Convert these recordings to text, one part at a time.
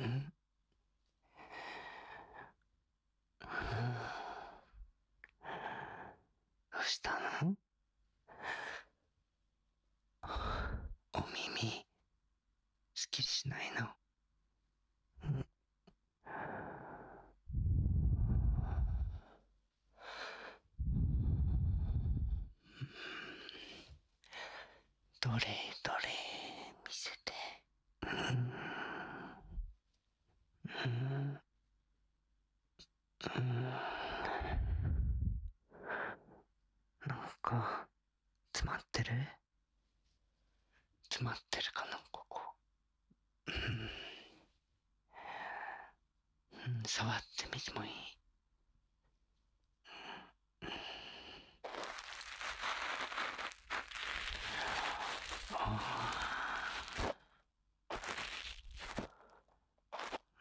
んどうしたのお耳、好きしないの。んどれどれ見せてうんうんうんなん詰まってる詰まってるかなここ触ってみてもいいああ。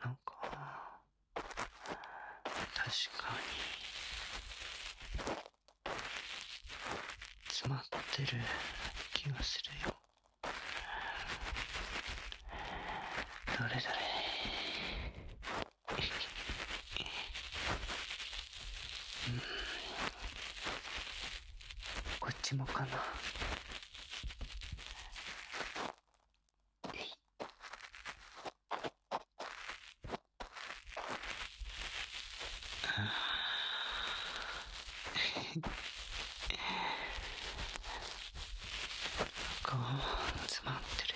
なんか確かに詰まってる気がするよどれどれうん。こっちもかな。ああ。も詰まってる。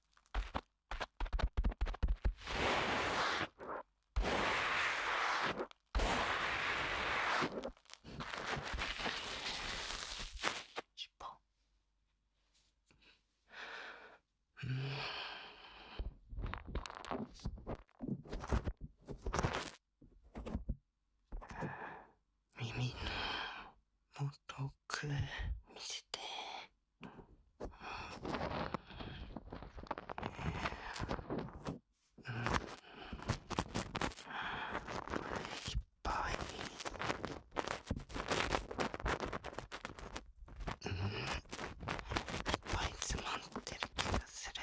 一本 耳の元く見せて。うん、いっぱい。うん、いっぱい詰まってる気がする。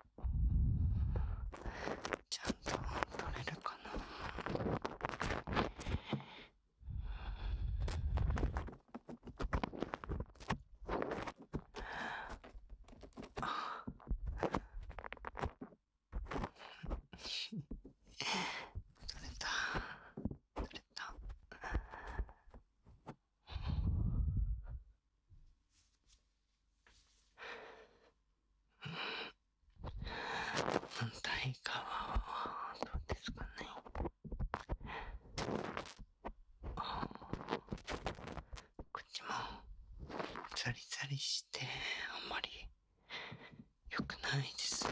ちゃんと取れるかな取れた取れたうん。反対側はどうですかねあっこちもザリザリしてあんまり良くないですね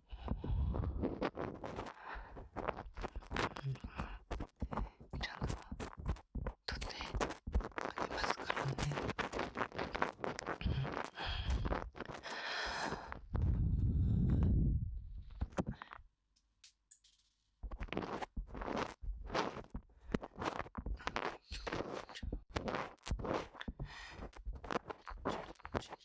うん、ちゃんと撮ってあげますからね。ちょちょちょ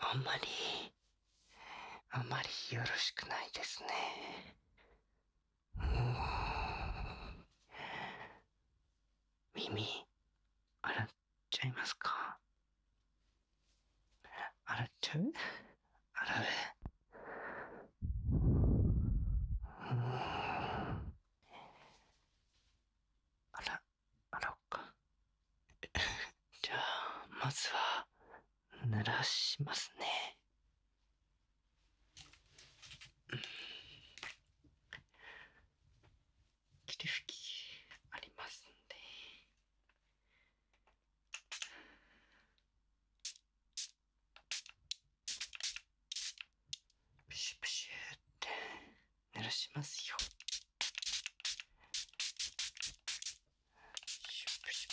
あんまり、あんまりよろしくないですね。耳、洗っちゃいますか洗っちゃうあられ。あら、洗おっか。じゃあ、まずは、濡らしますね。霧吹きありますんで。プシュプシュって鳴らしますよプシュプシュプシュ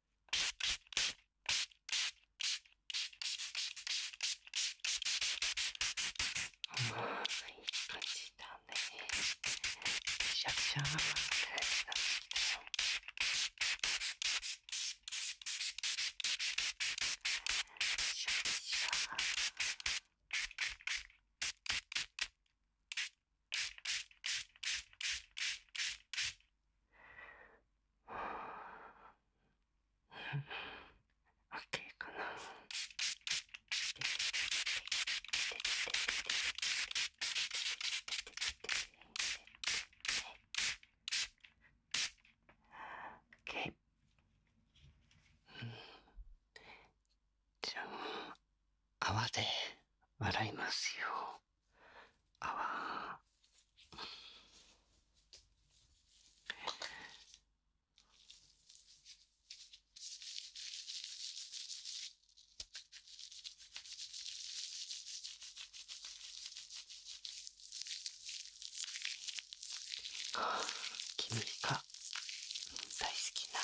いい感じだねシャキシャキシャキシャキ OK かな。OK じゃあ泡で笑いますよ。あわ君が大好きな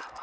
泡。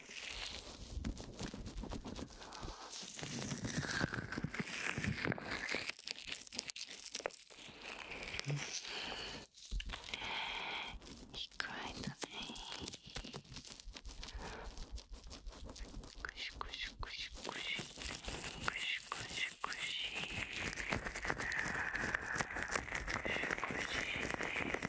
意外だねクシクシクシクシクシクシクシクシクシ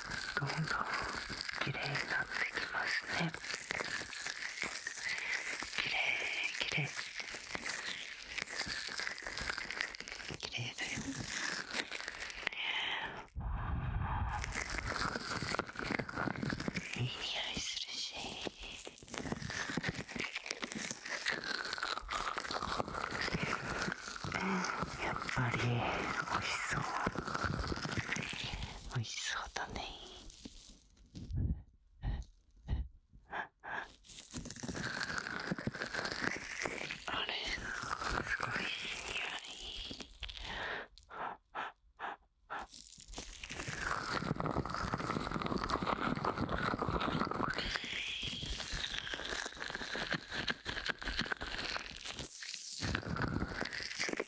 どんどん綺麗になってきますね綺麗綺麗綺麗だよいい匂いするしやっぱり美味しそう美味しそうだねあれすごいいい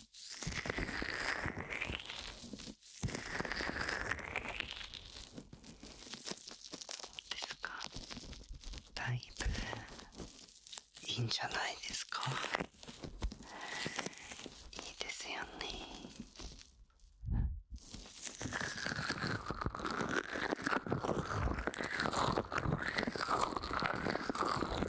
どうですかだいぶいいんじゃないですかいいですよね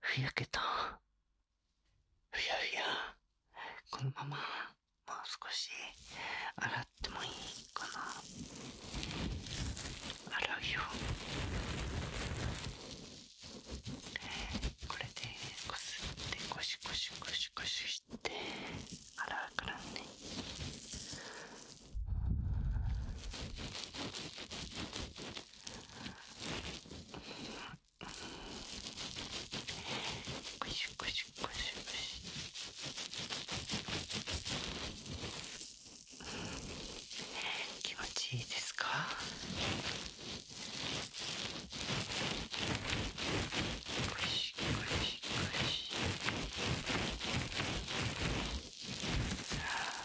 ふやけた。ふやふや。このまま、もう少し洗ってもいいかな。I l o これでこすってゴシゴシゴシゴシして洗うからねん。ゴシゴシゴシゴシ気持ちいいですかこしこしこしさあさあ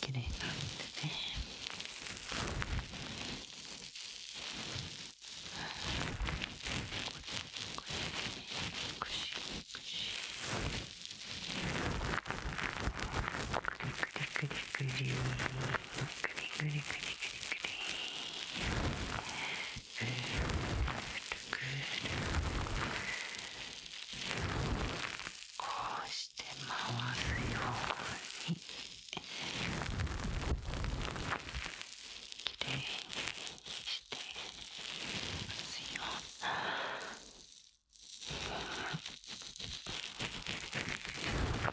綺麗なんでねこれくしくしくりくりくりくりぐりぐりぐりぐりぐる。こうして回すようにきれいにしてますような。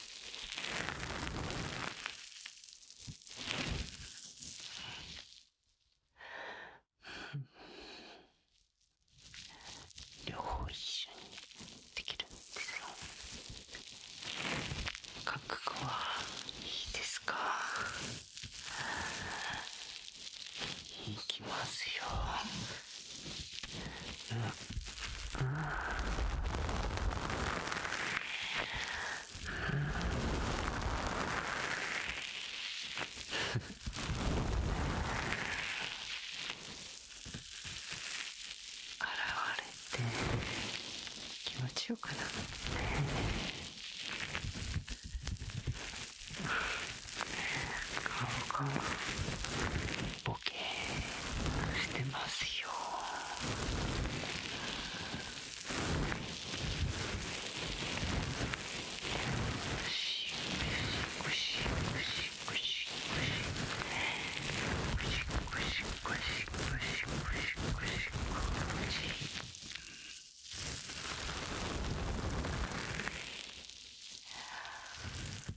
両方一緒にできるんですよ覚悟はいいですかいきますようううん。ん。現れて気持ちよくなって顔が。ボケしてますよ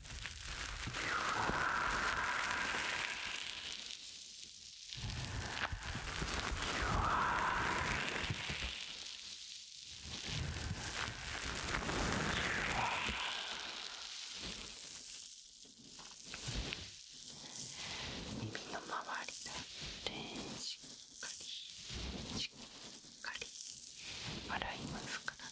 耳の周りだってしっかりしっかり洗いますからね。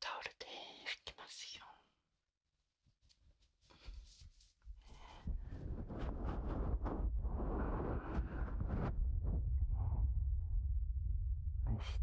タオルで拭きますよ。そして。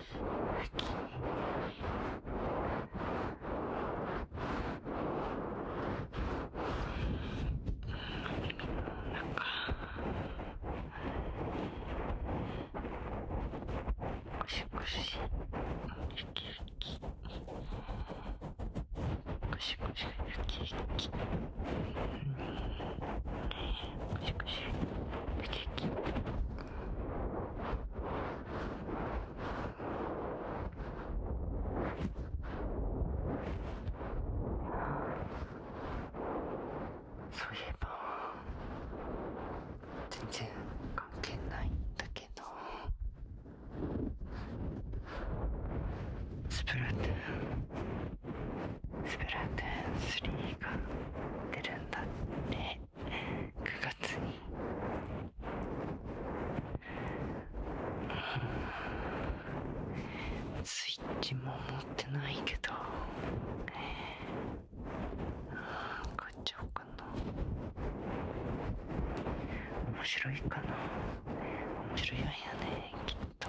ゴシゴシウキウキゴシゴシウキウキゴシゴシウキウキそういえば全然関係ないんだけどスプラトゥーンスプラトゥーン3が出るんだって9月にスイッチも持ってないけどえ買っちゃおうかな面白いかな面白いわよねきっと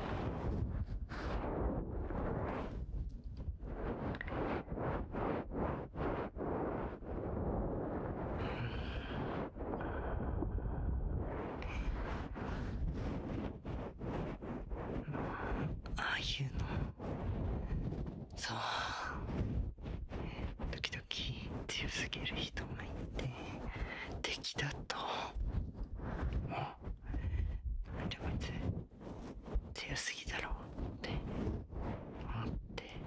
ああいうのそう時々強すぎる人がいて敵だともうめちゃめちゃ強すぎだろうって思って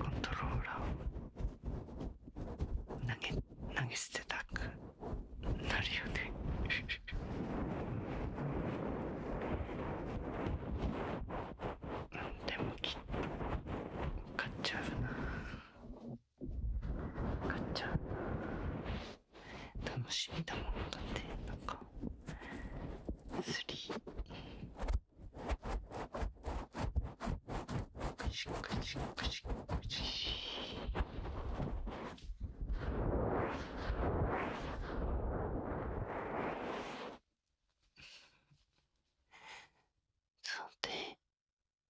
コントローラーを投げ投げ捨てたくなるよね でもきっと買っちゃうな買っちゃうな楽しみだもんだってなんか釣りくじくじくじくじさて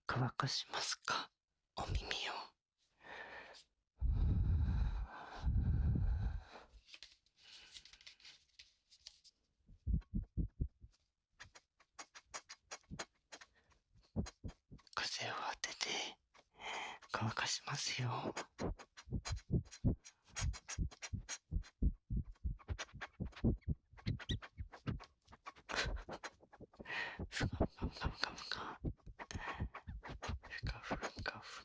乾かしますかお耳を風を当てて乾かしますよ。ふかふかふかふかふかふか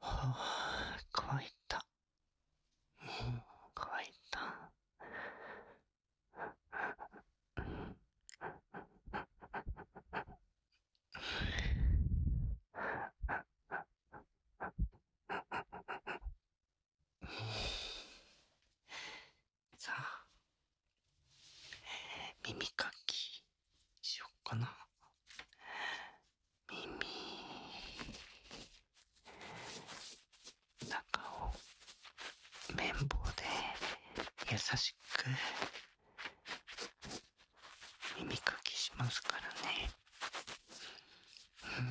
はあ、乾いた。うん、乾いた。さあ耳かきしよっかな。耳。中を綿棒で優しく耳かきしますからね。うんうん。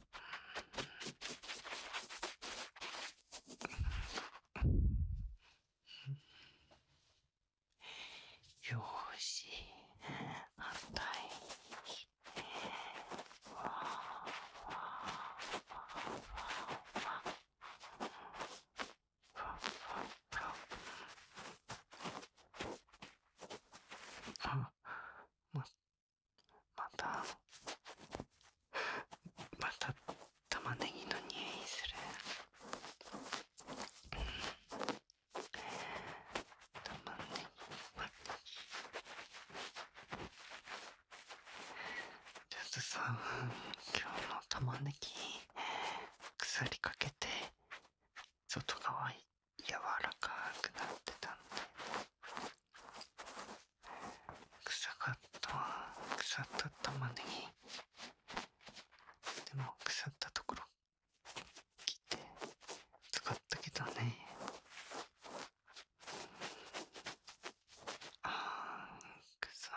よし反対に切ってわわわわあ、ままたまた玉ねぎの匂いする、うん、玉ねぎちょっとさ今日の玉ねぎ鎖かけて外側柔らかくなってたんでくさかった腐った玉ねぎでも腐ったところ切って使ったけどねあー臭い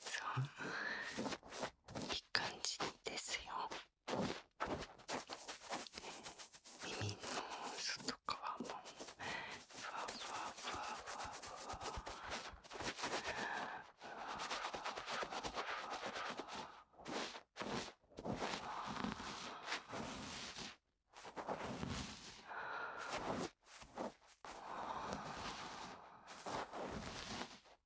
そういい感じですよ耳の外側もふわふわふわふわふわふわふわふわふわふわ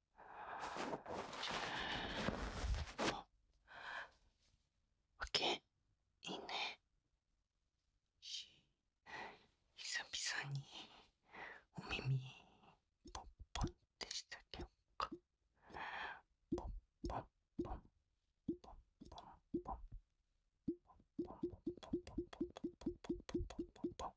オッケーいいね久々におみみ…ポッポンってしてあげようかポンポンポンポンポンポンポンポンポンポンポンポンポンポンポンポンポンポンポン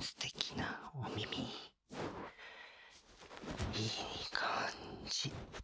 素敵なお耳いい感じ。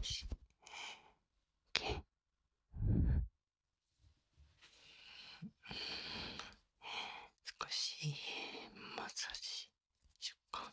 しけ少しマッサージしようか。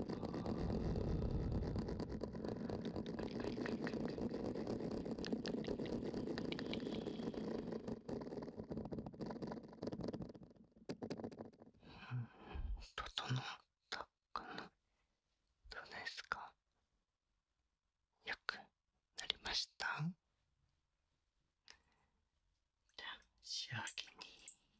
整ったかなどうですかよくなりましたじゃあ仕上げに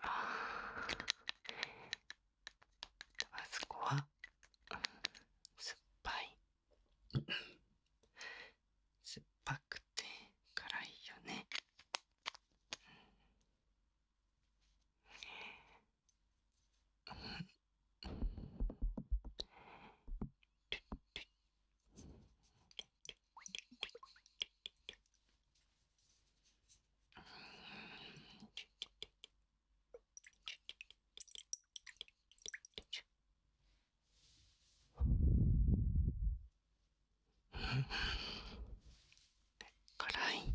ああ。あそこは、う酸っぱい酸っぱくて辛いよね、うんルル辛い。辛い。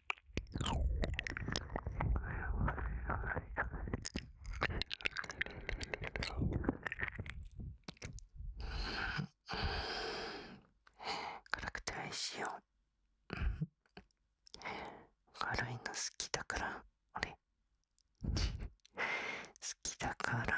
辛くておいしいよ軽いの好きだから俺好きだから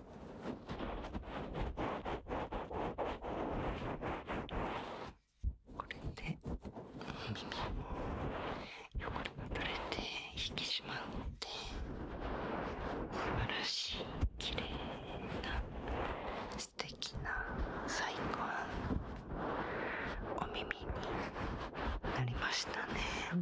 これで耳も汚れが取れて引き締まって素晴らしい綺麗な素敵な最高のお耳になりましたね。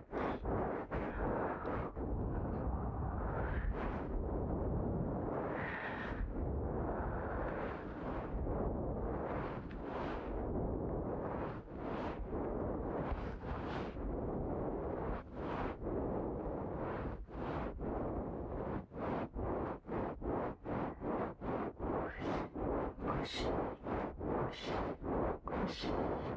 しい。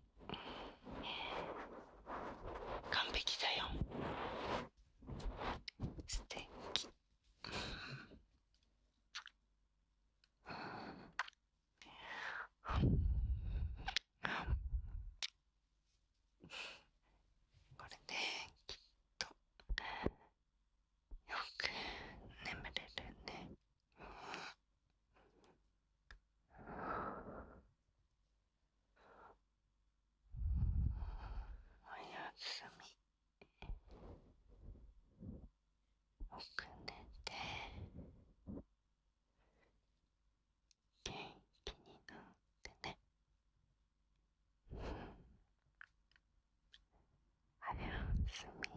ン完璧だよ素敵これできっとよく眠れるね。うん。おやすみよく寝て元気になってねおやすみ